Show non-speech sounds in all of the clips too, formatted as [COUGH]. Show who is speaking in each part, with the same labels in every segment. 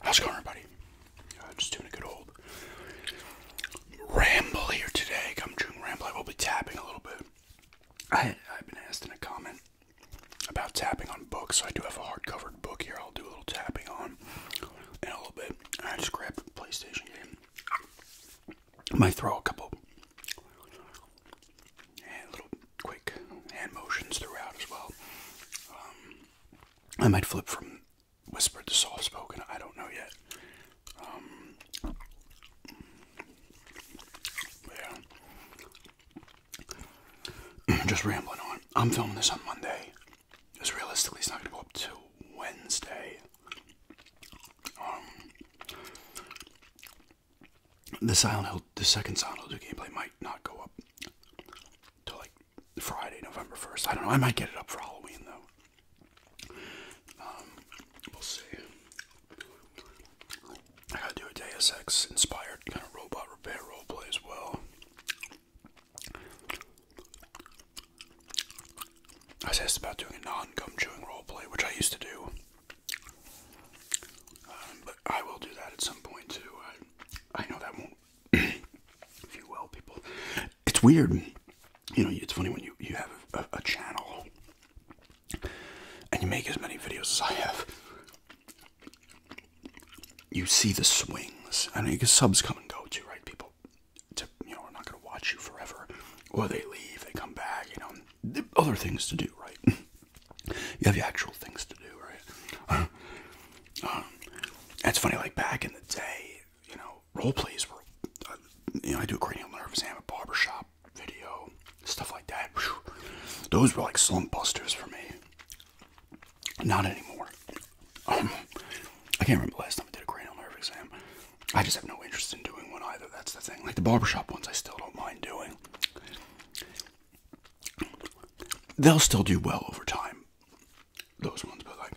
Speaker 1: How's it going, everybody? I'm just doing a good old ramble here today. Come June ramble. I will be tapping a little bit. I, I've been asked in a comment about tapping on books. I do have a hardcover book here. I'll do a little tapping on in a little bit. I just grabbed a PlayStation game. Might throw a couple, quick hand motions throughout as well. Um, I might flip from whispered to soft spoken, I don't know yet. Um, yeah. [CLEARS THROAT] Just rambling on. I'm filming this on Monday. Because realistically, it's not going to go up till Wednesday. Um, the Silent Hill, the second Silent Hill 2 gameplay might not go up till like Friday, November 1st. I don't know. I might get it up for Halloween though. Um, we'll see. I gotta do a Deus Ex inspired kind of robot repair roleplay as well. I was asked about doing a non gum chewing roleplay, which I used to do um, but I will do that at some point too. I, know that won't, [CLEARS THROAT] if you people. It's weird. You know, it's funny when you, you have a, channel and you make as many videos as I have. You see the swings. I mean, because subs come and go too, right? People, to, you know, are not going to watch you forever. Or they leave, they come back, you know. Other things to do, right? [LAUGHS] You have actual things to do, right? Uh, um, it's funny, like back in the day, you know, role plays were, uh, you know, I do a cranial nerve exam, a barber shop video, stuff like that. Those were like slump busters for me. Not anymore. Um, I can't remember the last time I did a cranial nerve exam. I just have no interest in doing one either. That's the thing. Like the barber shop ones, I still don't mind doing they'll still do well over time. Those ones, but like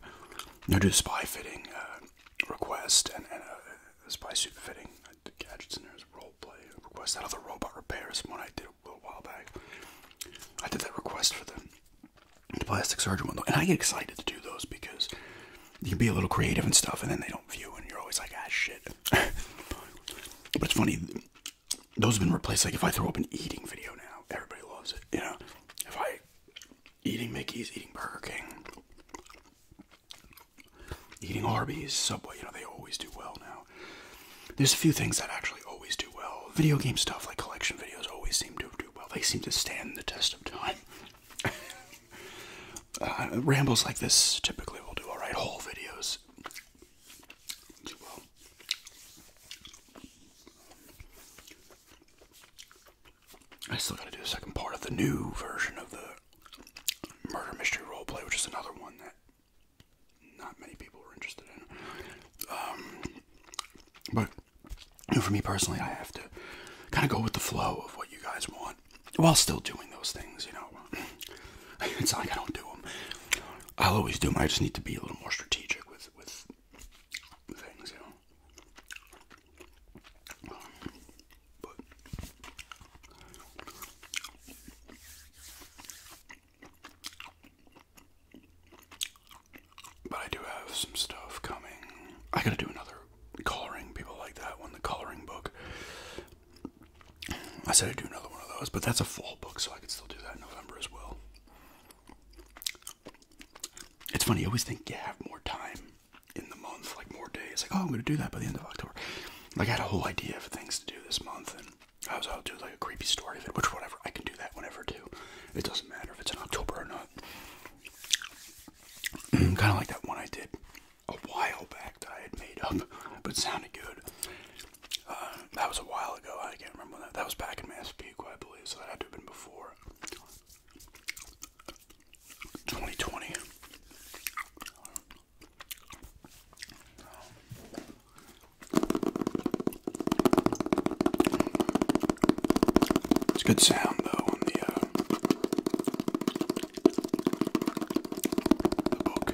Speaker 1: they'll do spy fitting uh, request and, and a, uh, spy suit fitting. Uh, gadgets in there is role play request. That other robot repairs one I did a little while back. I did that request for the, the plastic surgeon one, though, and I get excited to do those because you can be a little creative and stuff, and then they don't view, and you're always like, ah, shit. [LAUGHS] but it's funny those have been replaced. Like if I throw up an eating video now, everybody loves it. You know, if I eating Mickey's, eating Burger King, eating Arby's, Subway, you know, they always do well now. There's a few things that actually always do well. Video game stuff like collection videos always seem to do well. They seem to stand the test of time. [LAUGHS] Uh, rambles like this typically will do all right. Whole videos I still gotta do the second part of the new version of the murder mystery role play, which is another one that not many people are interested in. Um, but for me personally, I have to kind of go with the flow of what you guys want while still doing those things, you know. [LAUGHS] It's like I don't do them. I'll always do them. I just need to be a little more strategic with with things, you know. but I do have some stuff coming. I gotta do another coloring. People like that one, the coloring book. I said I'd do another one of those, but that's a fall book, so I could still do that in November as well. It's funny, you always think you have more time in the month, like more days. Like, oh, I'm going to do that by the end of October. I got a whole idea of things to do this month, and I was, I'll do like a creepy story of it, which, whatever, I can do that whenever, do. It doesn't matter if it's in October or not. Mm, kind of like that one I did a while back that I had made up, but sounded good. Uh, that was a while ago. I can't remember that. That was back in Massapequa, I believe. So that had to have been before 2020. It's good sound though on the uh, book.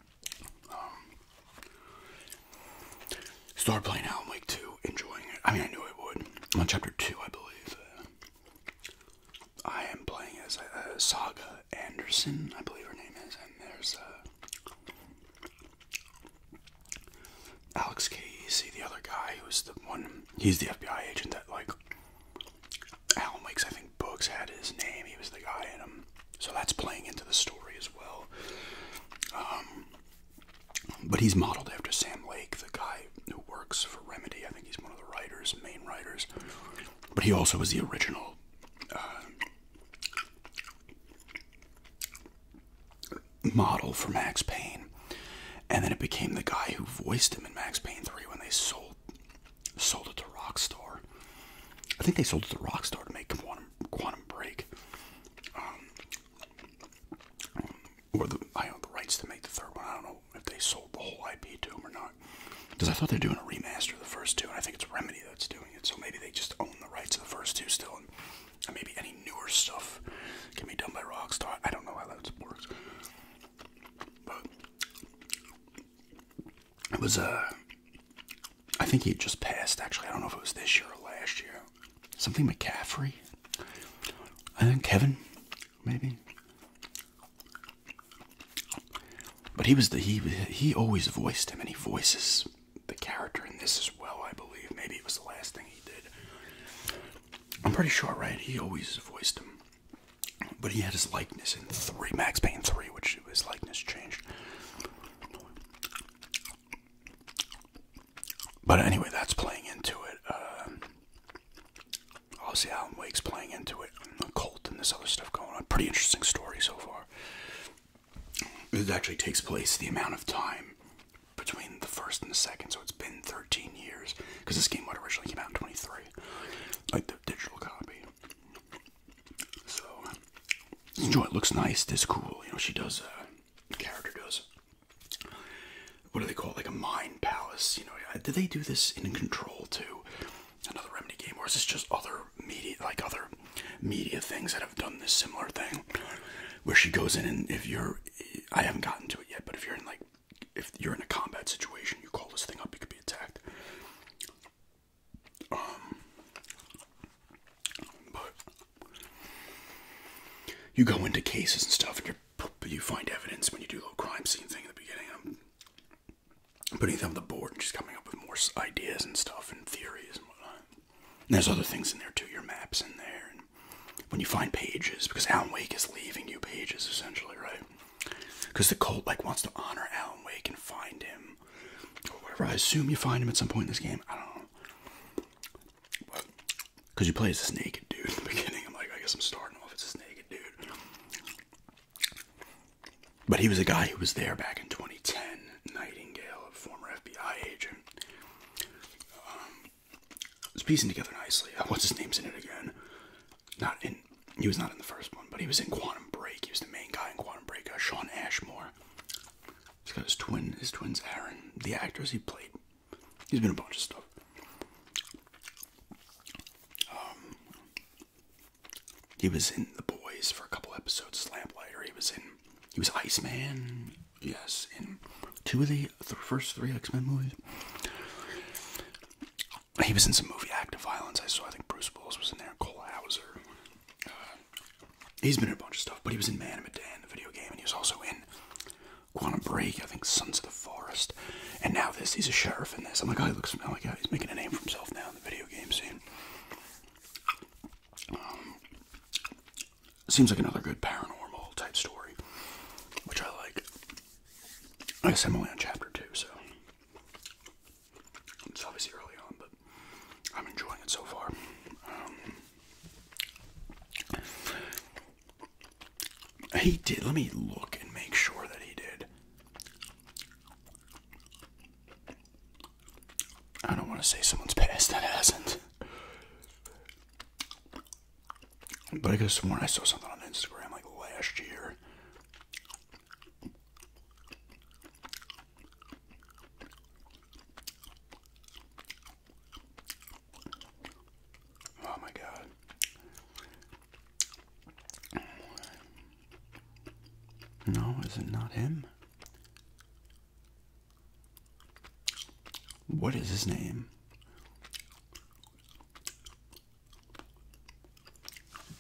Speaker 1: Um, started playing Alan Wake 2, enjoying it. I mean, I knew I would. on chapter 2, I believe. Uh, I am playing as uh, Saga Anderson, I believe her name is, and there's uh, Alex Casey, the other guy who's the one, he's the FBI agent that, like, Alan Weeks, I think Books had his name. He was the guy in him. So that's playing into the story as well. Um, but he's modeled after Sam Lake, the guy who works for Remedy. I think he's one of the writers, main writers. But he also was the original. Uh, model for Max Payne, and then it became the guy who voiced him in Max Payne 3 when they sold sold it to Rockstar. I think they sold it to Rockstar to make Quantum Break, um, or the I own the rights to make the third one. I don't know if they sold the whole IP to them or not, because I thought they're doing a remaster of the first two, and I think it's Remedy that's doing it. So maybe they just own the rights to the first two still, and, and maybe any newer stuff can be done by Rockstar. I don't know how that works, but it was a. Uh, I think he just passed. Actually, I don't know if it was this year or last year. Something McCaffrey. I think Kevin, maybe. But he was the he he always voiced him, and he voices the character in this as well. I believe maybe it was the last thing he did. I'm pretty sure, right? He always voiced him. But he had his likeness in three Max Payne three, which his likeness changed. But anyway, that's playing into it. Um, uh, obviously, Alan Wake's playing into it, and the cult, and this other stuff going on. Pretty interesting story so far. This actually takes place the amount of time between the first and the second, so it's been 13 years because this game would originally came out in 23, like the digital copy. So um, this joint looks nice. This cool. You know, she does. Uh, the character does. What do they call it? Like a mine palace. You know, do they do this in Control too? Another Remedy game, or is this just other media, like other media things that have done this similar thing, where she goes in and if you're, I haven't gotten to it yet, but if you're in like, if you're in a combat situation, you call this thing up, you could be attacked. Um, you go into cases and stuff, and you find evidence when you do a little crime scene thing at the beginning. putting them on the board and just coming up with more ideas and stuff and theories and whatnot. And there's other things in there too. Your maps in there, and when you find pages, because Alan Wake is leaving you pages essentially, right? Because the cult like wants to honor Alan Wake and find him, or whatever. I assume you find him at some point in this game. I don't know. But Because you play as this naked dude in the [LAUGHS] beginning. I'm like, I guess I'm starting off as this naked dude. But he was a guy who was there back in 2010. Nightingale, a former FBI agent. Um, it's piecing together nicely. What's his name's in it again? not in he was not in the first one, but he was in Quantum Break. He was the main guy in Quantum Break. Uh, Sean Ashmore. He's got his twin. His twin's Aaron. The actors he played. He's been a bunch of stuff. Um, he was in The Boys for a couple episodes. Lamplighter. He was in. He was Iceman. Yes, in two of the first three X Men movies. He was in some movie Act of Violence. I saw. I think Bruce Willis was in there. Cole Hauser. Uh, he's been in a bunch of stuff, but he was in Man of Medan, the video game, and he was also in Quantum Break. I think Sons of the Forest. And now this. He's a sheriff in this. I'm like, oh, he looks familiar. Like, he's making a name for himself now in the video game scene. Um, seems like another good paranormal type story, which I like. I guess I'm only on chapter two, so it's obviously early on, but I'm enjoying it so far. Um, he did. Let me look and make sure that he did. I don't want to say someone's past that hasn't. But I could have sworn I saw something on Instagram like last year Oh my god. No, is it not him? What is his name?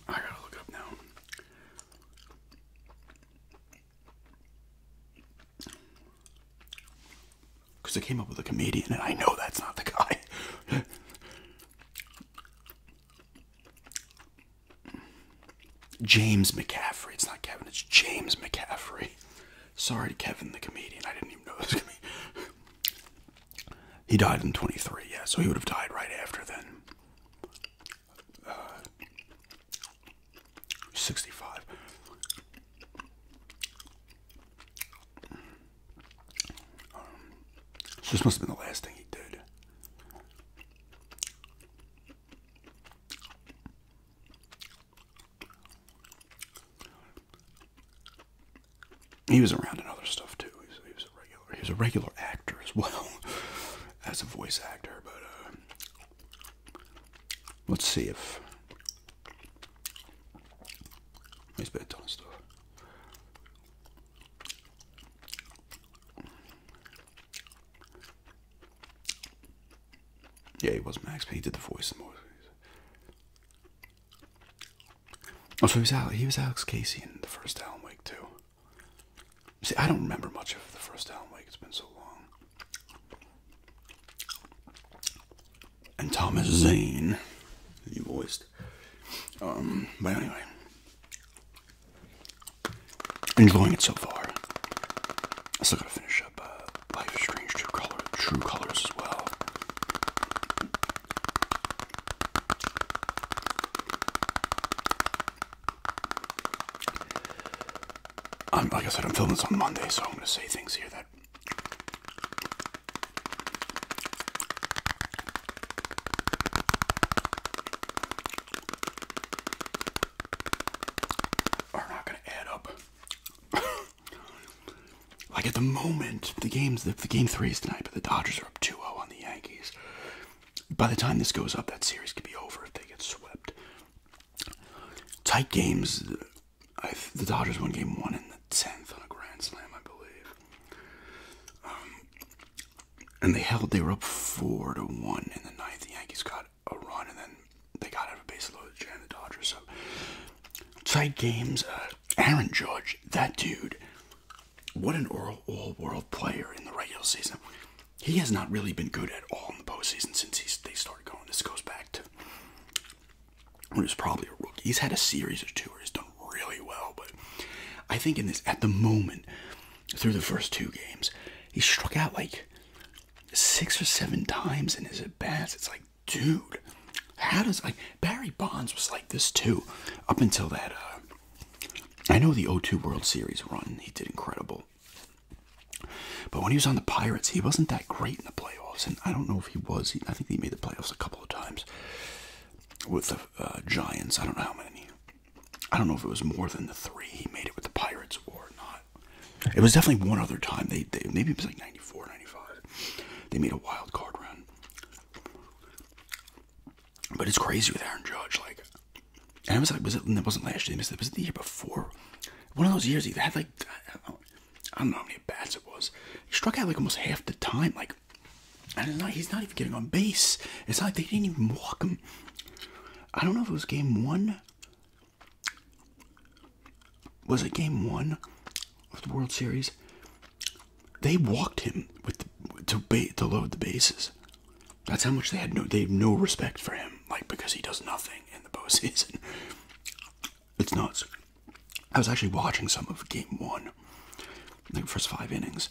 Speaker 1: I gotta look up now. Because I came up with a comedian, and I know that's not the guy. [LAUGHS] James McCaffrey. It's not Kevin, it's James McCaffrey. Sorry Kevin the comedian. I didn't even know this comedian. [LAUGHS] He died in 23, yeah, so he would have died right after then. 65. Um, this must have been the last thing he did. He was around in other stuff too. He's a regular actor as well, [LAUGHS] as a voice actor. But uh, let's see if he's been a ton stuff. Yeah, he was Max, but he did the voice the most. Oh, so he was, Alex, he was Alex Casey in the first Alan Wake too. See, I don't remember much of the first Alan Wake. It's been so long. And Thomas Zane, he voiced. Um, but anyway, enjoying it so far. I still gotta finish up uh, Life is Strange True Colors as well. I'm, like I said, I'm filming this on Monday, so I'm going to say things here that are not going to add up. [LAUGHS] like at the moment, the games, the, the game three is tonight, but the Dodgers are up 2-0 on the Yankees by the time this goes up, that series could be over if they get swept. Tight games. the Dodgers won game one in the tenth on a grand slam, I believe. Um, and they held. They were up four to one in the ninth. The Yankees got a run, and then they got out of base load to jam the Dodgers. So tight games. Uh, Aaron Judge, that dude what an all world player in the regular season. He has not really been good at all in the postseason since he's, they started going. This goes back to when he probably a rookie. He's had a series or two where he's done really well, but I think in this, at the moment, through the first two games, he struck out like six or seven times in his at bats. It's like, dude, how does like Barry Bonds was like this too up until that uh, I know the 02 World Series run, he did incredible. But when he was on the Pirates, he wasn't that great in the playoffs. And I don't know if he was. I think he made the playoffs a couple of times with the uh, Giants. I don't know how many. I don't know if it was more than the three he made it with the Pirates or not. It was definitely one other time. They, Maybe it was like 94, 95. They made a wild card run. But it's crazy with Aaron Judge. Like, and I was like, was it? That wasn't last year. It Was it the year before? One of those years he had like, I don't, know how many bats it was. He struck out like almost half the time. Like, and he's not even getting on base. It's like they didn't even walk him. I don't know if it was game one. Was it game one of the World Series? They walked him with to to load the bases. That's how much they had no they have no respect for him, like because he does nothing in the [LAUGHS] postseason. It's nuts. I was actually watching some of game one, like first five innings,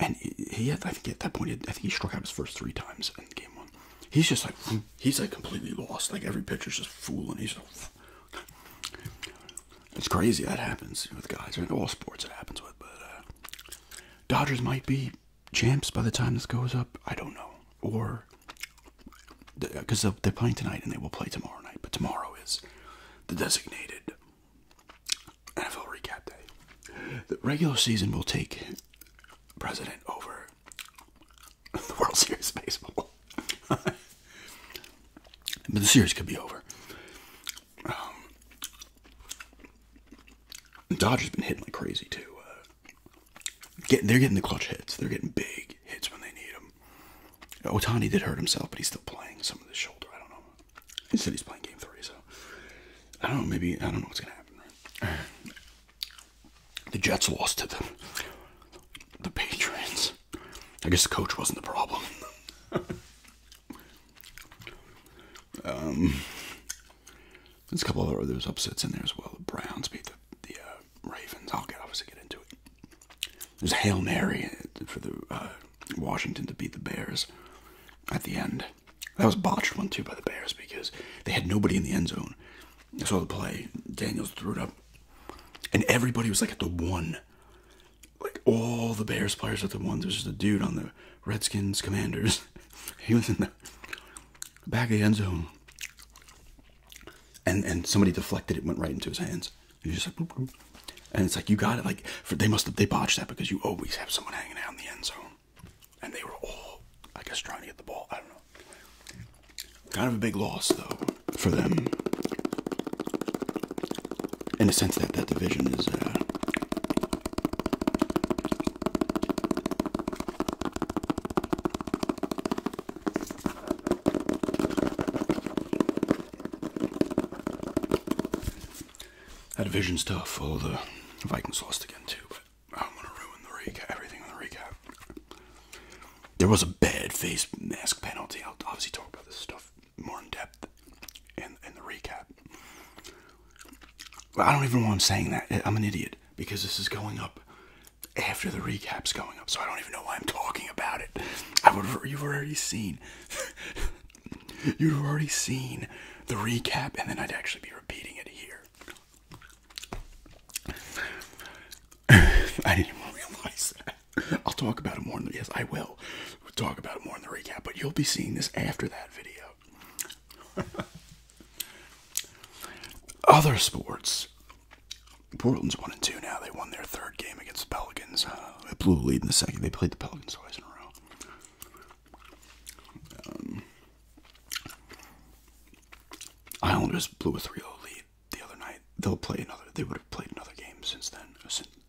Speaker 1: and he had I think at that point I think he struck out his first three times in game one. He's just like he's like completely lost. Like every pitcher's just fooling. He's it's crazy that happens with guys. In all sports it happens with, but uh, Dodgers might be champs by the time this goes up. I don't know. Or because they're playing tonight and they will play tomorrow night, but tomorrow is the designated NFL recap day. The regular season will take president over [LAUGHS] the World Series baseball. [LAUGHS] but the series could be over. Um, Dodge has been hitting like crazy too. Uh, getting, they're getting the clutch hits. They're getting big hits when they need them. Otani did hurt himself, but he's still playing some of the shoulder. I don't know. He said he's playing game three, so I don't know. Maybe I don't know what's gonna happen. The Jets lost to the the Patriots. I guess the coach wasn't the problem. [LAUGHS] Um, there's a couple of those upsets in there as well. The Browns beat the, the uh, Ravens. I'll get obviously get into it. There's a hail mary for the uh, Washington to beat the Bears at the end. That was botched one too by the Bears because they had nobody in the end zone. I saw the play. Daniels threw it up, and everybody was like at the one like all the Bears players at the ones. There's just a dude on the Redskins Commanders. [LAUGHS] he was in the back of the end zone. And and somebody deflected it, went right into his hands. And you just like, and it's like you got it. Like they must have they botched that because you always have someone hanging out in the end zone, and they were all, I guess, trying to get the ball. I don't know. Kind of a big loss though for them in a sense that that division is uh, that division's stuff. for the Vikings lost again too, but I don't want to ruin the recap, everything on the recap. There was a bad face mask penalty. I'll obviously talk about this stuff more in depth and in the recap. I don't even know why I'm saying that. I'm an idiot because this is going up after the recap's going up, so I don't even know why I'm talking about it. I would you've already seen [LAUGHS] you've already seen the recap, and then I'd actually be repeating it here. [LAUGHS] I didn't even realize that. I'll talk about it more. In yes, I will. We'll talk about it more in the recap, but you'll be seeing this after that video. [LAUGHS] Other sports. Portland's one and two now. They won their third game against the Pelicans. Uh, they blew a lead in the second. They played the Pelicans twice in a row. Um, Islanders blew a 3-0 lead the other night. They'll play another. They would have played another game since then.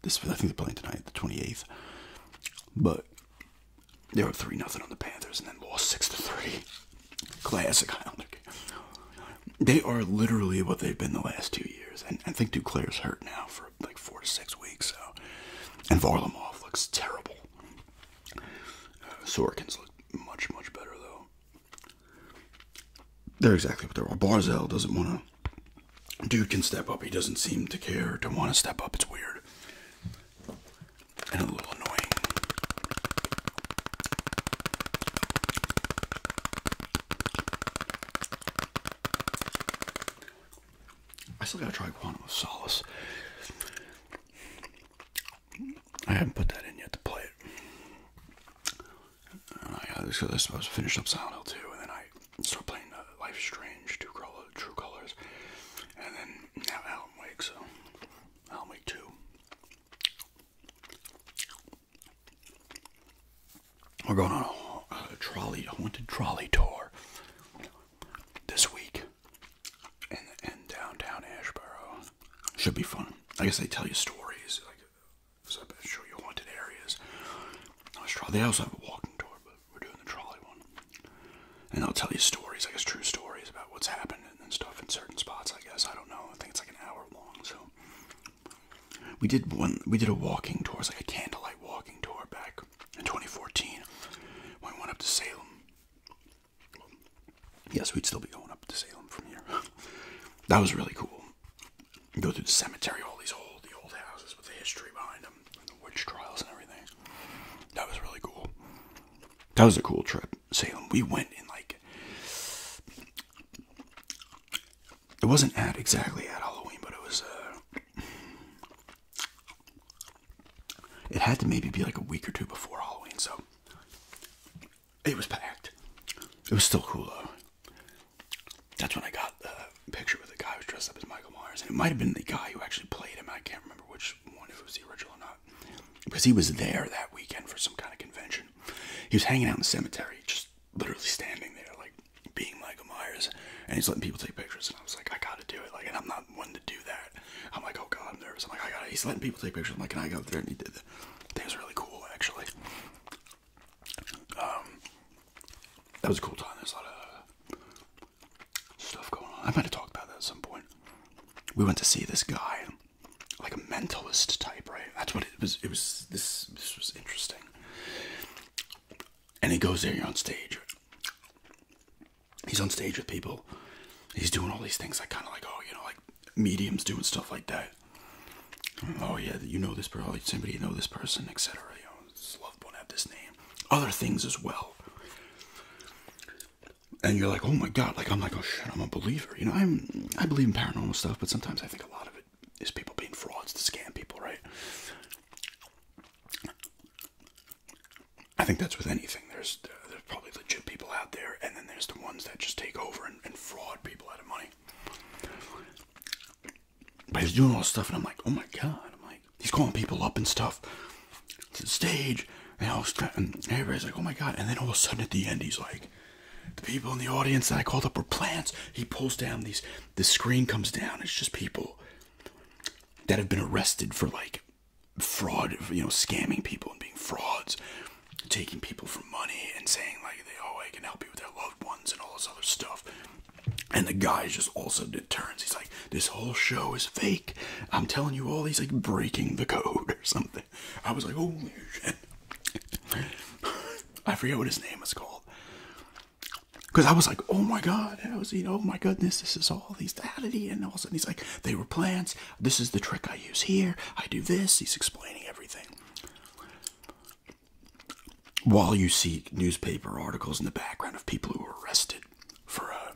Speaker 1: this, I think they're playing tonight, the 28th. But they were three nothing on the Panthers and then lost six to three. Classic Islander game. They are literally what they've been the last two years, and I think Duclair's hurt now for like four to six weeks. So, and Varlamov looks terrible. Uh, Sorkin's looked much much better though. They're exactly what they are. Barzell doesn't want to dude can step up. He doesn't seem to care to want to step up. It's weird and a little annoying. I still gotta try Quantum of Solace. I haven't put that in yet to play it. Uh, I, I supposed to finish up Silent Hill 2, and then I start playing uh, Strange, True, Color, True Colors, and then now Alan Wake, so Alan Wake 2. We're going on a, trolley, a haunted trolley tour this week in, downtown Ashboro. Should be fun. I guess they tell you stories, like show you haunted areas. I was trying. They also have a walking tour, but we're doing the trolley one, and i will tell you stories, I guess true stories about what's happened and stuff in certain spots. I guess I don't know. I think it's like an hour long. So we did one. We did a walking tour, it's like a candlelight walking tour back in 2014 when we went up to Salem. Yes, we'd still be going up to Salem from here. that was really cool. Go through the cemetery, all these old, the old houses with the history behind them the, witch trials and everything. That was really cool. That was a cool trip. Salem. We went in like it wasn't at exactly at Halloween, but it was. Uh, it had to maybe be like a week or two before Halloween, so it was packed. It was still cool though. That's when I got the picture with a guy who was dressed up as Michael Myers, and it might have been the guy who actually played him. I can't remember which one if it was the original or not, because he was there that weekend for some kind of convention. He was hanging out in the cemetery, just literally standing there, like being Michael Myers, and he's letting people take pictures. And I was like, I gotta do it, like, and I'm not one to do that. I'm like, oh god, I'm nervous. I'm like, I gotta. He's letting people take pictures. I'm like, and I go there, and he did that. That was really cool, actually. Um, that was a cool time. There's a lot of stuff going on. I might have talked about that at some point. We went to see this guy, like a mentalist type, right? That's what it was. It was this. This was interesting. And he goes there. You're on stage. He's on stage with people. He's doing all these things. I like, kind of like, oh, you know, like mediums doing stuff like that. Oh yeah, you know this person. Somebody you know this person, etc this won't have this name, other things as well. And you're like, oh my god, like I'm like, oh shit, I'm a believer. You know, I'm I believe in paranormal stuff, but sometimes I think a lot of it is people being frauds to scam people, right? I think that's with anything. There's there's probably legit people out there, and then there's the ones that just take over and fraud people out of money. But he's doing all this stuff, and I'm like, oh my god! I'm like, he's calling people up and stuff to the stage, and everybody's like, oh my god! And then all of a sudden at the end, he's like, the people in the audience that I called up were plants. He pulls down these, the screen comes down. It's just people that have been arrested for like fraud, you know, scamming people and being frauds, taking people for money and saying like, oh, I can help you with your loved ones and all this other stuff. And the guy is just also deterrence. He's like, this whole show is fake. I'm telling you all these like breaking the code or something. I was like, holy shit. [LAUGHS] I forget what his name is called. Because I was like, oh my god, I was, you oh my goodness, this is all these daddy, and all of a sudden he's like, they were plants, this is the trick I use here, I do this, he's explaining everything. While you see newspaper articles in the background of people who were arrested for uh,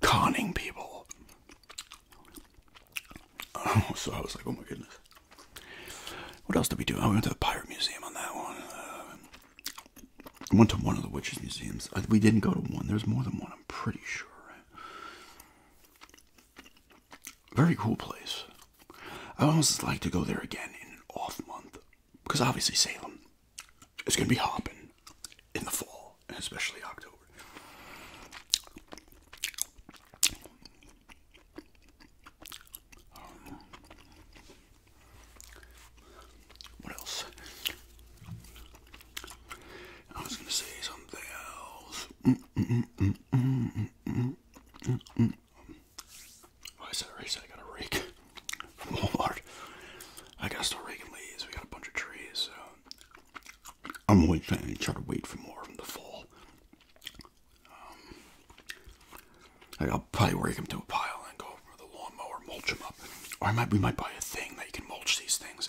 Speaker 1: conning people. Oh, [LAUGHS] so I was like, oh my goodness. What else did we do? Oh, we went to the Pirate Museum on that one. Uh, went to one of the witches' museums. Uh, we didn't go to one. There's more than one, I'm pretty sure. Very cool place. I almost like to go there again in an off month because obviously Salem is going to be hopping in the fall, especially October. Um, what else? I was going to say something else. I said, that reason I got a rake [LAUGHS] from Walmart? I gotta start raking leaves. We got a bunch of trees, so I'm always trying to try to wait for more from the fall. Um, I'll probably rake them to a pile and go over the lawnmower, mulch them up. Or I might we might buy a thing that you can mulch these things.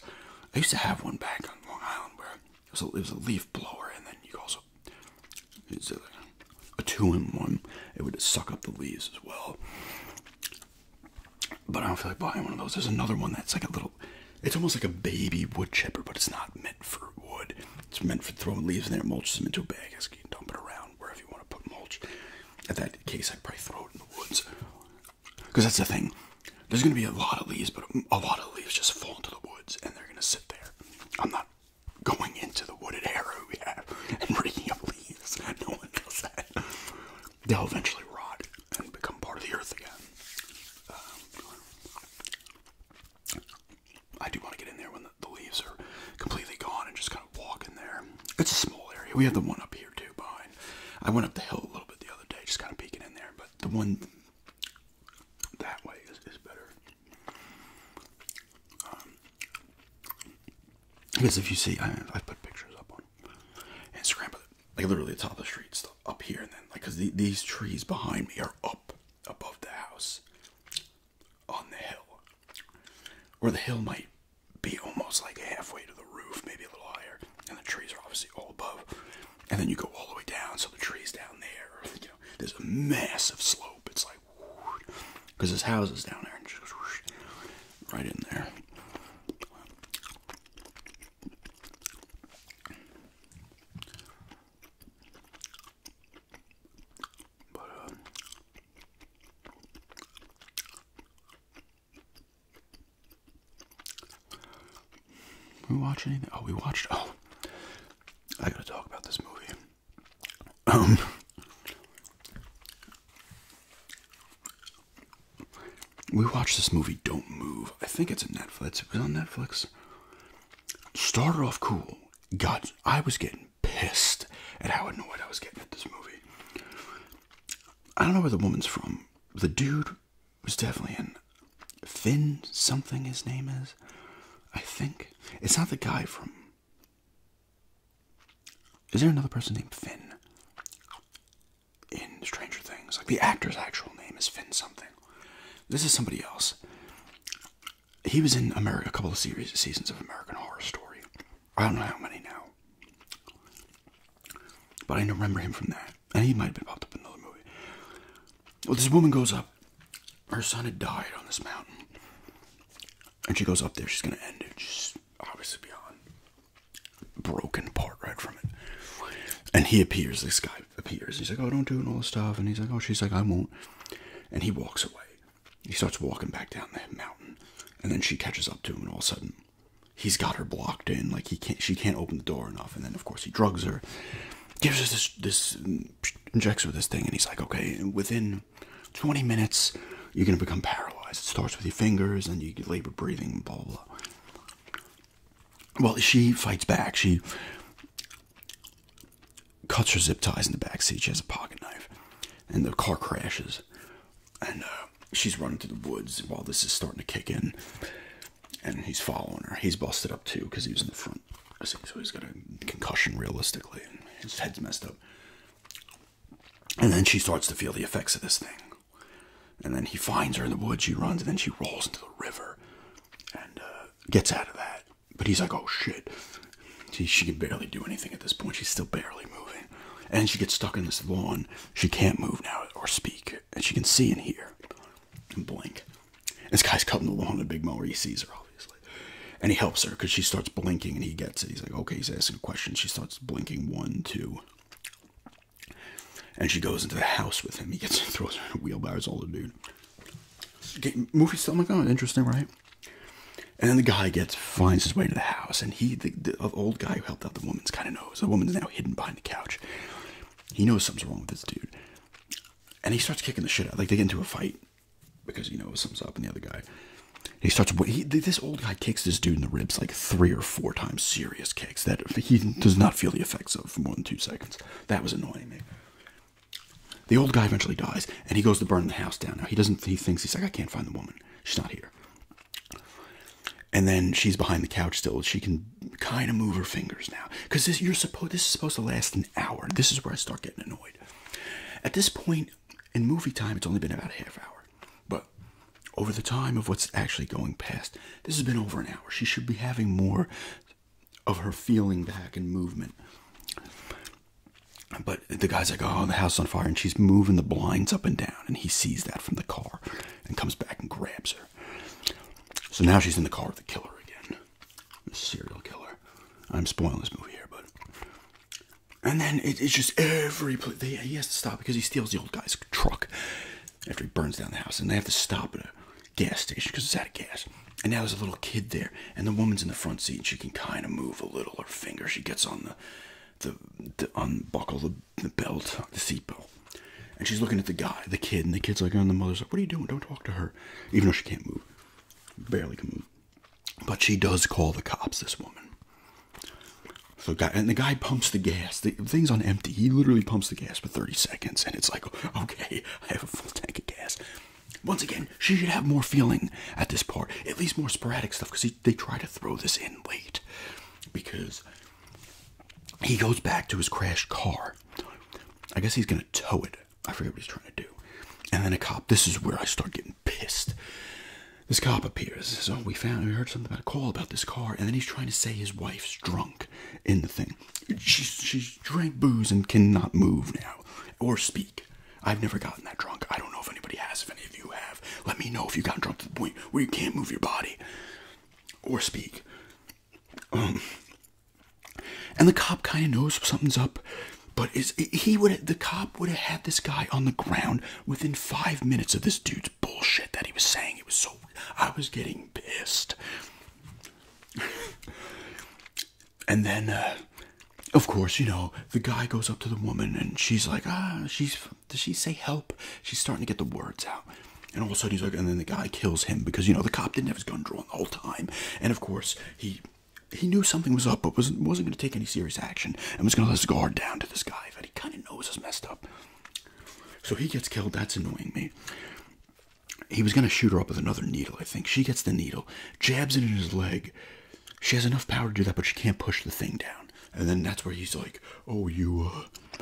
Speaker 1: I used to have one back on Long Island where it was a, leaf blower, and then you also it's a, a two in one. It would suck up the leaves as well. But I don't feel like buying one of those. There's another one that's like a little, it's almost like a baby wood chipper, but it's not meant for wood. It's meant for throwing leaves in there, mulches them into a bag, as you can dump it around wherever you want to put mulch. In that case, I'd probably throw it in the woods. Because that's the thing. There's going to be a lot of leaves, but a lot of leaves just fall into the woods and they're going to sit there. I'm not going into the wooded area we and raking up leaves. [LAUGHS] No one knows that. They'll eventually rot and become part of the earth again. Um, I do want to get in there when the, leaves are completely gone and just kind of walk in there. It's a small area. We have the one up here too behind. I went up the hill a little bit the other day, just kind of peeking in there, but the one that way is, is better. Um, because if you see, I, I put pictures up on Instagram, but like literally the top of the streets up here, and then like because these trees behind me are up above the house on the hill, or the hill might be almost like halfway to the roof, maybe a little higher, and the trees are obviously all above, and then you go all the way down, so the trees down there, you know, there's a massive slope. It's like because his house is down there, right in there. But, uh, we watch anything? Oh, we watched. Oh, I gotta talk about this movie. Um, we watched this movie, Don't Move. I think it's a Netflix. It was on Netflix. Started off cool. Got I was getting pissed at how annoyed I was getting at this movie. I don't know where the woman's from. The dude was definitely in Finn something his name is. I think. It's not the guy from is there another person named Finn in Stranger Things? Like the actor's actual name is Finn something. This is somebody else. He was in America, a couple of seasons of American Horror Story. I don't know how many now, but I remember him from that, and he might have been popped up in another movie. Well, this woman goes up. Her son had died on this mountain, and she goes up there. She's gonna end it is obviously beyond broken part right from it. And he appears, this guy appears. He's like, Oh, don't do it all this stuff. And he's like, Oh, she's like, I won't. And he walks away. He starts walking back down the mountain. And then she catches up to him and all of a sudden he's got her blocked in. Like he can't she can't open the door enough. And then of course he drugs her. Gives her this this injects her with this thing and he's like, Okay, and within 20 minutes, you're going to become paralyzed. It starts with your fingers and you labor breathing, blah, blah, Well, she fights back. She cuts her zip ties in the back seat. She has a pocket knife. And the car crashes. And uh, she's running through the woods while this is starting to kick in. And he's following her. He's busted up too because he was in the front. So he's got a concussion realistically. his head's messed up. And then she starts to feel the effects of this thing. And then he finds her in the woods. She runs, and then she rolls into the river and uh, gets out of that. But he's like, oh shit. She, can barely do anything at this point. She's still barely moving. And she gets stuck in this lawn. She can't move now or speak. And she can see and hear and blink. This guy's cutting the lawn in a big mower. He sees her, obviously. And he helps her because she starts blinking and he gets it. He's like, okay, he's asking a question. She starts blinking one, two. And she goes into the house with him. He gets [LAUGHS] throws her a wheelbarrow. It's the dude. Get, movie like, oh, interesting, right? And then the guy gets finds his way to the house, and he, the, the old guy who helped out the woman's kind of knows. The woman's now hidden behind the couch. He knows something's wrong with this dude, and he starts kicking the shit out. Like they get into a fight, because you know it was something's up and the other guy he starts this old guy kicks this dude in the ribs like three or four times serious kicks that he does not feel the effects of for more than two seconds that was annoying me the old guy eventually dies and he goes to burn the house down now he doesn't he thinks he's like i can't find the woman she's not here and then she's behind the couch still she can kind of move her fingers now because this you're supposed this is supposed to last an hour this is where i start getting annoyed at this point in movie time, it's only been about a half hour. But over the time of what's actually going past, this has been over an hour. She should be having more of her feeling back and movement. But the guy's like, oh, the house on fire. And she's moving the blinds up and down. And he sees that from the car and comes back and grabs her. So now she's in the car with the killer again. The serial killer. I'm spoiling this movie here, but and then it's just every place. They, he has to stop because he steals the old guy's truck after he burns down the house. And they have to stop at a gas station because it's out of gas. And now there's a little kid there. And the woman's in the front seat. And she can kind of move a little. Her finger. She gets on the the, unbuckle the, the belt, the seatbelt. And she's looking at the guy, the kid, and the kid's like, oh, and the mother's like, what are you doing? Don't talk to her. Even though she can't move. Barely can move. But she does call the cops, this woman. So guy and the guy pumps the gas. The thing's on empty. He literally pumps the gas for 30 seconds and it's like, okay, [LAUGHS] I have a full tank of gas. Once again, she should have more feeling at this part, at least more sporadic stuff, because they try to throw this in late. Because he goes back to his crashed car. I guess he's gonna tow it. I forget what he's trying to do. And then a cop, this is where I start getting pissed. This cop appears. So we found we heard something about a call about this car, and then he's trying to say his wife's drunk in the thing. She's she's drank booze and cannot move now or speak. I've never gotten that drunk. I don't know if anybody has. If any of you have, let me know if you got drunk to the point where you can't move your body or speak. Um, and the cop kind of knows something's up but is he would the cop would have had this guy on the ground within five minutes of this dude's bullshit that he was saying. It was so I was getting pissed. [LAUGHS] and then, uh, of course, you know the guy goes up to the woman and she's like, ah, she's does she say help? She's starting to get the words out. And all of a sudden he's like, and then the guy kills him because you know the cop didn't have his gun drawn the whole time. And of course he he knew something was up, but was, wasn't going to take any serious action and was going to let his guard down to this guy that he kind of knows is messed up. So he gets killed. That's annoying me. He was going to shoot her up with another needle, I think. She gets the needle, jabs it in his leg. She has enough power to do that, but she can't push the thing down. And then that's where he's like, oh, you, uh,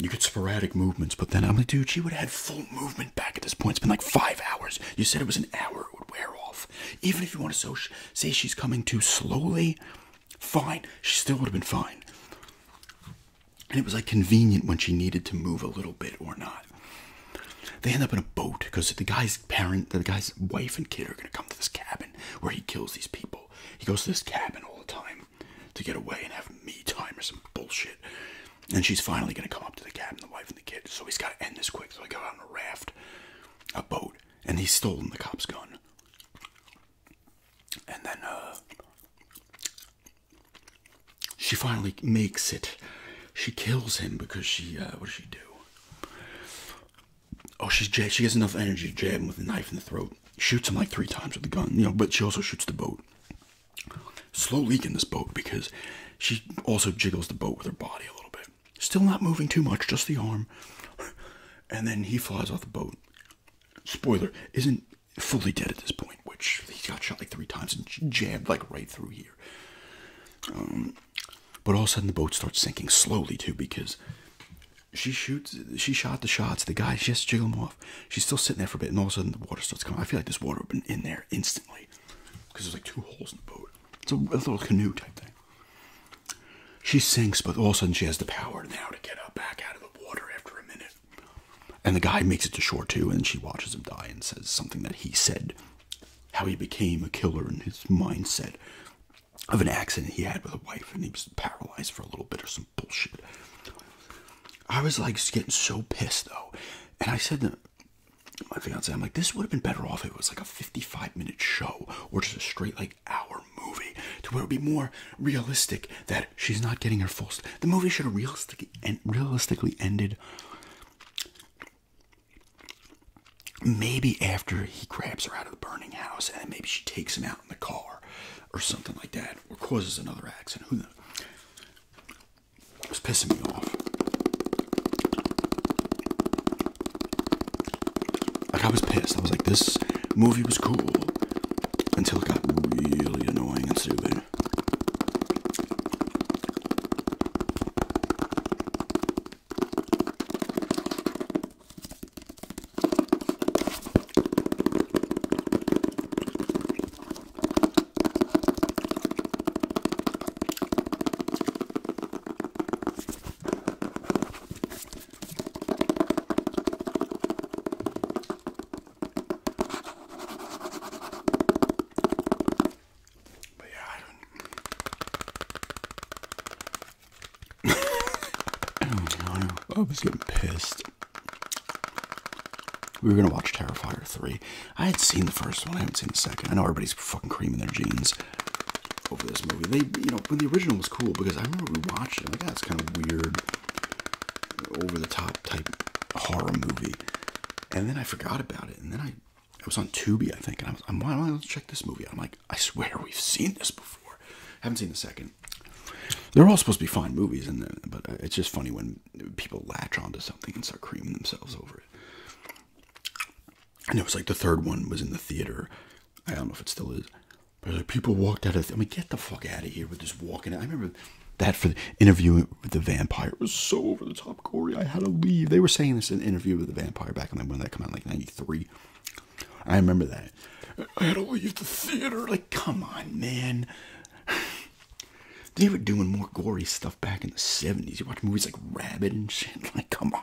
Speaker 1: you get sporadic movements. But then I'm like, dude, she would have had full movement back at this point. It's been like five hours. You said it was an hour. It would wear off. Even if you want to say she's coming too slowly, fine, she still would have been fine. And it was like convenient when she needed to move a little bit or not. They end up in a boat because the guy's parent, the guy's wife and kid are going to come to this cabin where he kills these people. He goes to this cabin all the time to get away and have me time or some bullshit. And she's finally going to come up to the cabin, the wife and the kid. So he's got to end this quick. So I got on a raft, a boat, and he's stolen the cop's gun. And then uh, she finally makes it. She kills him because she, uh, what does she do? Oh, she's she gets enough energy to jab him with a knife in the throat. Shoots him like three times with the gun, you know. But she also shoots the boat. Slow leak in this boat because she also jiggles the boat with her body a little bit. Still not moving too much, just the arm. And then he flies off the boat. Spoiler, isn't fully dead at this point, which he got shot like three times and jammed like right through here. Um, but all of a sudden the boat starts sinking slowly too because she shoots, she shot the shots. The guy just has him off. She's still sitting there for a bit, and all of a sudden the water starts coming. I feel like this water would have been in there instantly because there's like two holes in the boat. It's a little canoe type thing. She sinks, but all of a sudden she has the power now to get up back out of the water after a minute. And the guy makes it to shore too, and she watches him die and says something that he said how he became a killer in his mindset of an accident he had with a wife, and he was paralyzed for a little bit or some bullshit. I was like getting so pissed though, and I said to my fiance, I'm like, this would have been better off if it was like a 55 minute show or just a straight like our movie to where it would be more realistic that she's not getting her full st the movie should have realistically ended maybe after he grabs her out of the burning house and maybe she takes him out in the car or something like that or causes another accident who knows it was pissing me off like I was pissed. I was like, this movie was cool until it got really annoying and stupid. But yeah, I don't. [COUGHS] I was getting pissed. We were gonna watch Terrifier 3. I had seen the first one, I haven't seen the second. I know everybody's fucking creaming their jeans over this movie. They, you know, when the original was cool because I remember we watched it. like, that's kind of weird, over the top type horror movie. And then I forgot about it. And then I, I was on Tubi, I think, and I was, I'm, why let's check this movie. I'm like, I swear we've seen this before. I haven't seen the second. They're all supposed to be fine movies, and uh, but uh, it's just funny when people latch onto something and start creaming themselves over it and it was like the third one was in the theater. I don't know if it still is, but people walked out of. The, I mean, get the fuck out of here with just walking. I remember that for the interview with the vampire was so over the top gory. I had to leave. They were saying this in an interview with the vampire back when when that came out, like '93. I remember that. I had to leave the theater. Like, come on, man. [SIGHS] They were doing more gory stuff back in the 70s. You watch movies like Rabbit and shit. [LAUGHS] Like, come on.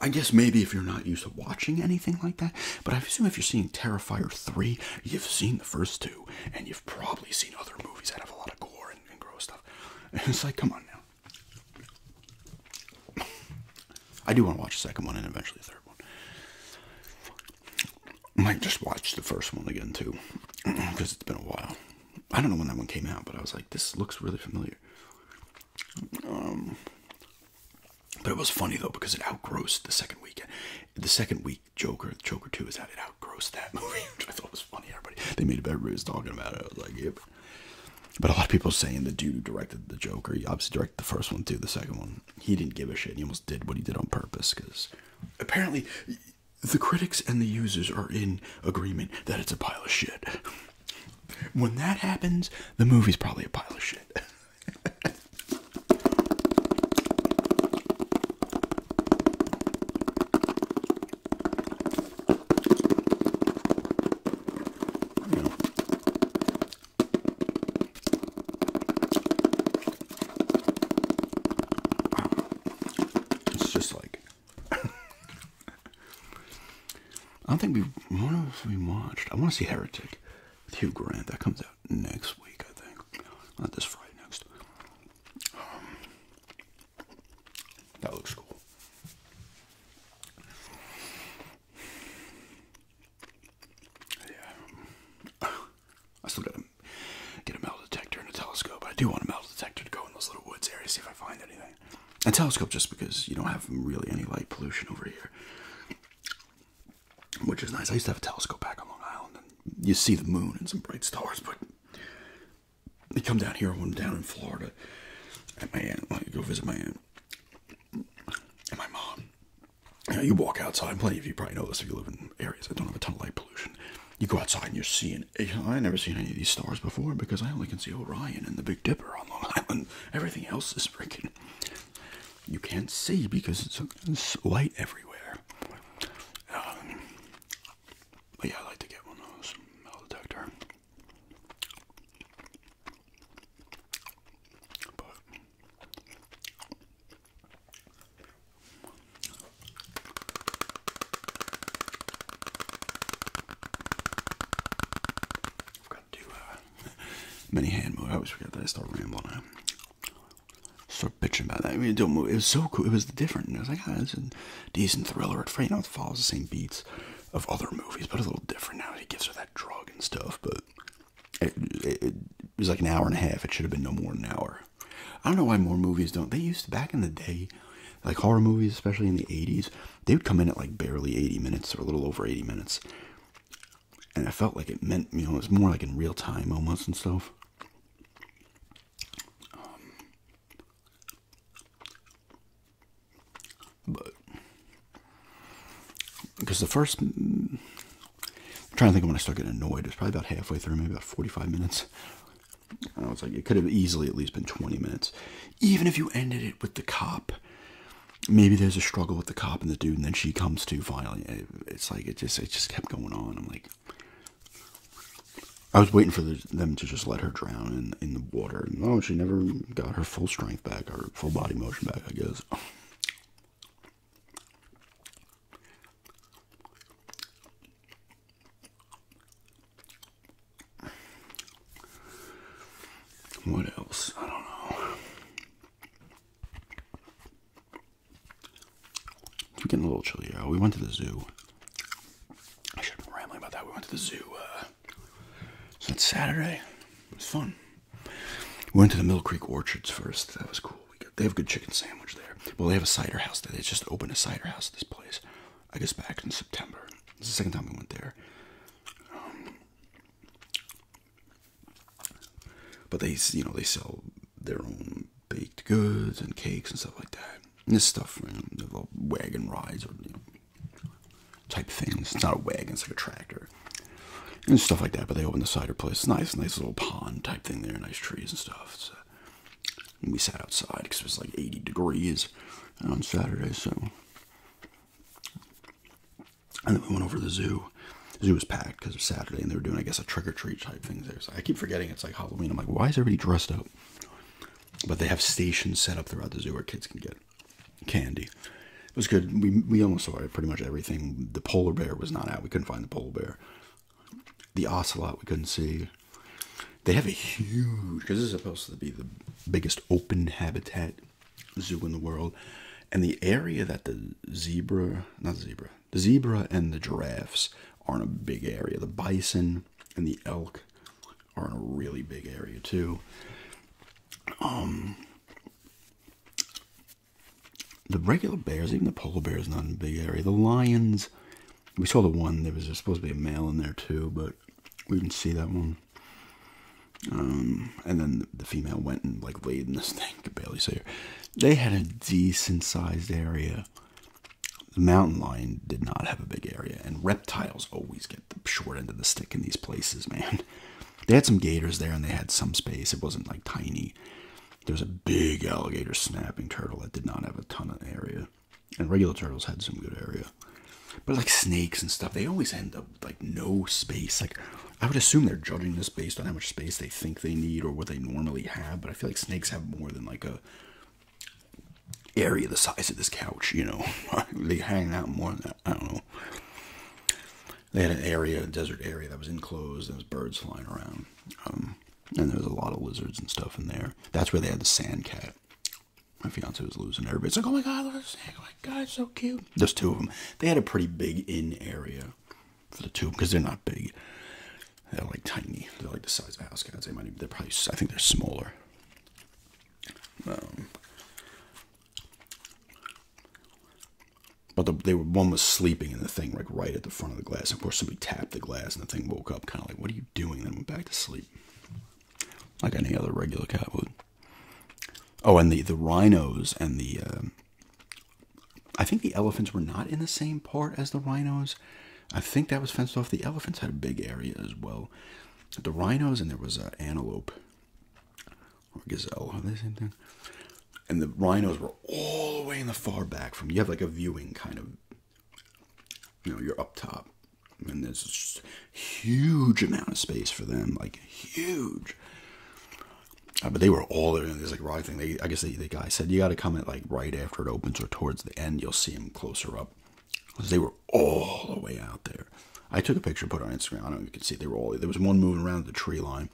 Speaker 1: I guess maybe if you're not used to watching anything like that, but I assume if you're seeing Terrifier 3, you've seen the first two, and you've probably seen other movies that have a lot of gore and, gross stuff. [LAUGHS] it's like, come on now. I do want to watch the second one and eventually the third one. I might just watch the first one again too, because [CLEARS THROAT] it's been a while. I don't know when that one came out, but I was like, this looks really familiar. Um, but it was funny though because it outgrossed the second weekend. The second week, Joker, Joker Two is out. It outgrossed that [LAUGHS] movie, which I thought was funny. Everybody, they made it. Everybody was talking about it. I was like, yep. But a lot of people saying the dude directed the Joker, he obviously directed the first one too, the second one. He didn't give a shit. He almost did what he did on purpose because apparently the critics and the users are in agreement that it's a pile of shit. [LAUGHS] When that happens, the movie's probably a pile of shit. [LAUGHS] It's just like I don't think we. What else we watched? I want to see Heretic with Hugh Grant. That comes out next week, I think. Not this Friday, next. Um, that looks cool. Yeah. I still gotta get a metal detector and a telescope. I do want a metal detector to go in those little woods areas, see if I find anything. A telescope just because you don't have really any light pollution over here, which is nice. I used to have a telescope back on Long Island, and you see the moon and some bright stars, but they come down here when I'm down in Florida at my aunt, like, go visit my aunt and my mom. You, walk outside, and plenty of you probably know this if you live in areas that don't have a ton of light pollution. You go outside and you're seeing I never seen any of these stars before because I only can see Orion and the Big Dipper on Long Island. [LAUGHS] Everything else is freaking. You can't see because it's, light everywhere. Um, but yeah, I like to get one of those metal detector. I've got to do uh, [LAUGHS] many hand move. I always forget that I start rambling. I start bitching about that. I mean, don't move. It was so cool. It was different. It was like, ah, it's a decent thriller. At you know, it follows the same beats of other movies, but a little different now. He gives her that drug and stuff, but it, it was like an hour and a half. It should have been no more than an hour. I don't know why more movies don't. They used to, back in the day, like horror movies, especially in the 80s, they would come in at like barely 80 minutes or a little over 80 minutes. And I felt like it meant, you know, it was more like in real time almost and stuff. Um, but, because the first, mm, I'm trying to think of when I started getting annoyed, it was probably about halfway through, maybe about 45 minutes. I was like, it could have easily at least been 20 minutes. Even if you ended it with the cop. Maybe there's a struggle with the cop and the dude, and then she comes to finally. It's like it just it just kept going on. I'm like, I was waiting for them to just let her drown in in the water. No, oh, she never got her full strength back, her full body motion back. I guess. What else? I don't know. I'm getting a little chilly out. We went to the zoo. I should have been rambling about that. We went to the zoo. Uh, since Saturday, it was fun. We went to the Mill Creek Orchards first. That was cool. they have a good chicken sandwich there. Well, they have a cider house. There. They just opened a cider house. This place. I guess back in September. It's the second time we went there. Um, but they, you know, they sell their own baked goods and cakes and stuff like that. And this stuff, you know, wagon rides or type things. It's not a wagon; it's like a tractor and stuff like that. But they open the cider place. nice, nice little pond type thing there. Nice trees and stuff. and we sat outside because it was like 80 degrees on Saturday. So and then we went over to the zoo. The zoo was packed because it was Saturday, and they were doing, I guess, a trick or treat type thing there. So I keep forgetting it's like Halloween. I'm like, why is everybody dressed up? But they have stations set up throughout the zoo where kids can get candy. It was good. We, we almost saw pretty much everything. The polar bear was not out. We couldn't find the polar bear. The ocelot we couldn't see. They have a huge, because this is supposed to be the biggest open habitat zoo in the world. And the area that the zebra, not zebra, the zebra and the giraffes are in a big area. The bison and the elk are in a really big area too. Um, the regular bears, even the polar bears, not in a big area. The lions, we saw the one, there was supposed to be a male in there too, but we didn't see that one. Um, and then the female went and like laid in the thing. Could barely see her. They had a decent sized area. The mountain lion did not have a big area, and reptiles always get the short end of the stick in these places, man. They had some gators there, and they had some space. It wasn't like tiny. There was a big alligator snapping turtle that did not have a ton of area. And regular turtles had some good area. But like snakes and stuff, they always end up like no space. Like I would assume they're judging this based on how much space they think they need or what they normally have, but I feel like snakes have more than like a area the size of this couch, you know. [LAUGHS] they hang out more than that. I don't know. They had an area, a desert area that was enclosed, there was birds flying around. Um, and there was a lot of lizards and stuff in there. That's where they had the sand cat my fiance was losing her. But it's like, oh my god, Oh my god, it's so cute. There's two of them. They had a pretty big in area for the two because they're not big. They're like tiny. They're like the size of house cats. They might be. they're probably, I think they're smaller. Um, but they were, one was sleeping in the thing, like right at the front of the glass. And Of course, somebody tapped the glass and the thing woke up, kind of like, what are you doing? Then went back to sleep like any other regular cat would. Oh, and the the rhinos and the um, I think the elephants were not in the same part as the rhinos. I think that was fenced off. The elephants had a big area as well. The rhinos and there was an antelope or gazelle. Are they the same thing? And the rhinos were all the way in the far back from you have like a viewing kind of you know, you're up top and there's just huge amount of space for them, like huge. Uh, but they were all there in this like rock thing. I guess they, the guy said you got to come at like right after it opens or towards the end. You'll see them closer up because they were all the way out there. I took a picture, put on Instagram. I don't know if you can see they were all there. Was one moving around the tree line.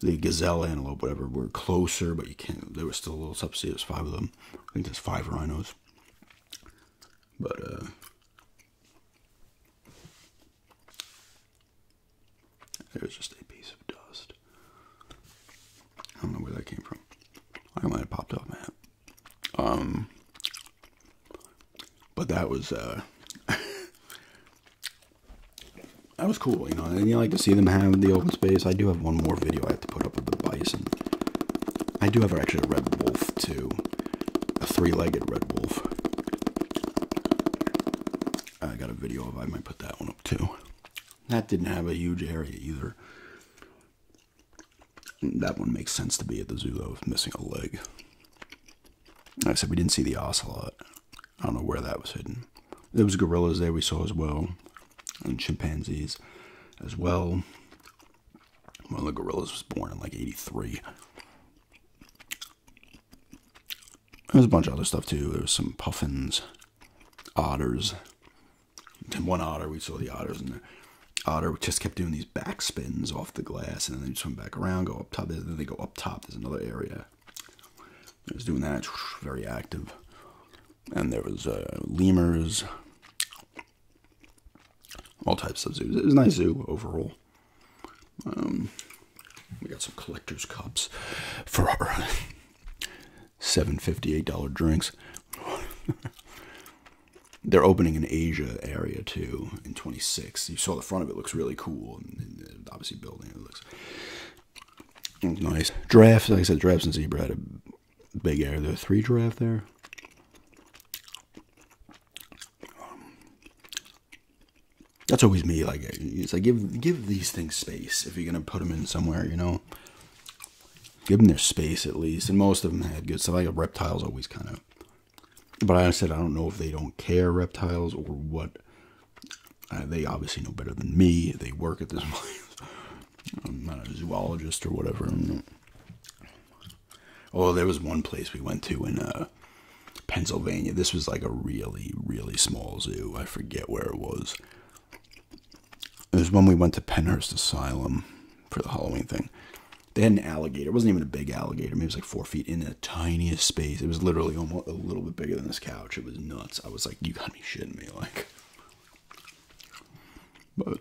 Speaker 1: The gazelle, antelope, whatever, were closer, but you can't. There was still a little subsea. There's five of them. I think there's five rhinos. But uh it was just a piece of dust. I don't know where that came from. I might have popped off my Um but that was uh [LAUGHS] that was cool, you know. And you like to see them have the open space. I do have one more video I have to put up of the bison. I do have actually a red wolf too a three-legged red wolf. I got a video of I might put that one up too. That didn't have a huge area either. That one makes sense to be at the zoo of missing a leg. I said we didn't see the ocelot. I don't know where that was hidden. There was gorillas there we saw as well, and chimpanzees as well. One of the gorillas was born in like 83. There's a bunch of other stuff too. There was some puffins, otters. And one otter, we saw the otters, and the otter just kept doing these back spins off the glass, and then they just went back around, go up top, then they go up top. There's another area. It was doing that, very active. And there was uh, lemurs, all types of zoos. It was a nice zoo overall. Um, we got some collector's cups for seven fifty eight dollar drinks. [LAUGHS] They're opening an Asia area too in twenty six. You saw the front of it looks really cool, and obviously building it looks nice. Giraffes, like I said, giraffes and zebra had a big area. There three giraffe there that's always me. Like it's like give give these things space if you're gonna put them in somewhere, you know. Give them their space at least, and most of them had good stuff. Like reptiles always kind of, but I said I don't know if they don't care reptiles or what. Uh, they obviously know better than me. They work at this [LAUGHS] place. I'm not a zoologist or whatever. Oh, there was one place we went to in uh, Pennsylvania. This was like a really, really small zoo. I forget where it was. It was when we went to Penhurst Asylum for the Halloween thing. They had an alligator. It wasn't even a big alligator. Maybe it was like four feet in the tiniest space. It was literally almost a little bit bigger than this couch. It was nuts. I was like, you got me shitting me. Like, but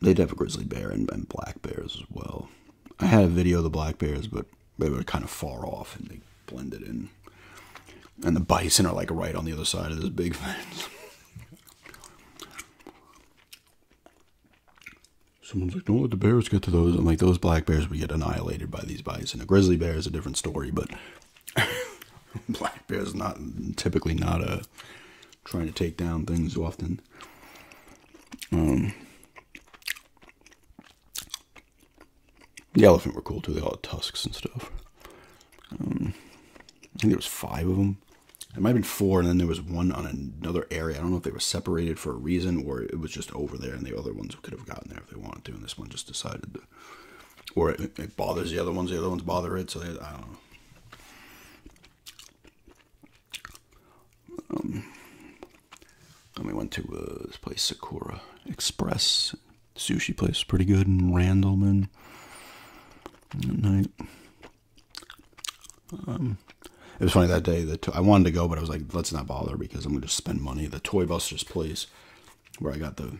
Speaker 1: they'd have a grizzly bear and, black bears as well. I had a video of the black bears, but they were kind of far off and they blended in. And the bison are like right on the other side of this big [LAUGHS] fence. Someone's like, don't let the bears get to those. I'm like, those black bears would get annihilated by these bison. A grizzly bear is a different story, but [LAUGHS] Black bear's not typically not uh, trying to take down things often. Um, the elephant were cool too. They all tusks and stuff. Um, I think there was five of them. It might have been four, and then there was one on another area. I don't know if they were separated for a reason or it was just over there, and the other ones could have gotten there if they wanted to, and this one just decided Or it, it bothers the other ones, the other ones bother it, so they, I don't know. Um, we went to uh, this place, Sakura Express sushi place, pretty good in Randallman, at night. Um, it was funny that day that I wanted to go, but I was like, let's not bother because I'm going to spend money. The Toy Busters place where I got the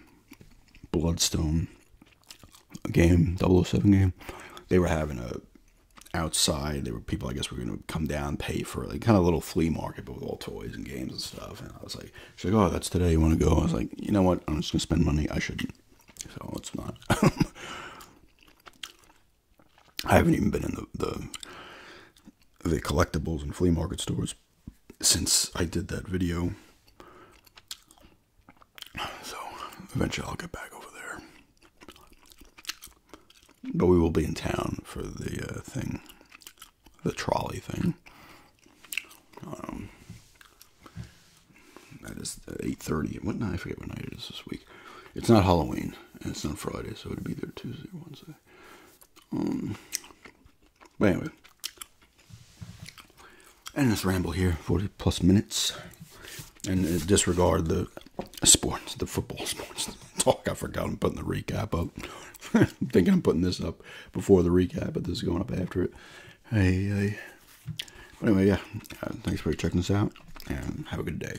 Speaker 1: Bloodstone game, 007 game, they were having a outside. There were people, I guess, we're going to come down, pay for like kind of little flea market, but with all toys and games and stuff. And I was like, she's like, oh, that's today. You want to go? I was like, you know what? I'm just going to spend money. I shouldn't. So it's not. [LAUGHS] I haven't even been in the, the the collectibles and flea market stores since I did that video. So eventually I'll get back over there. But we will be in town for the uh, thing, the trolley thing. Um, that is eight thirty. What night? I forget what night it is this week. It's not Halloween and it's not Friday, so it will be there Tuesday Wednesday. Um, but anyway, and this ramble here, 40 plus minutes. And uh, disregard the sports, the football sports [LAUGHS] talk. I forgot I'm putting the recap up. I'm [LAUGHS] thinking I'm putting this up before the recap, but this is going up after it. Hey, anyway, yeah. Uh, thanks for checking us out, and have a good day.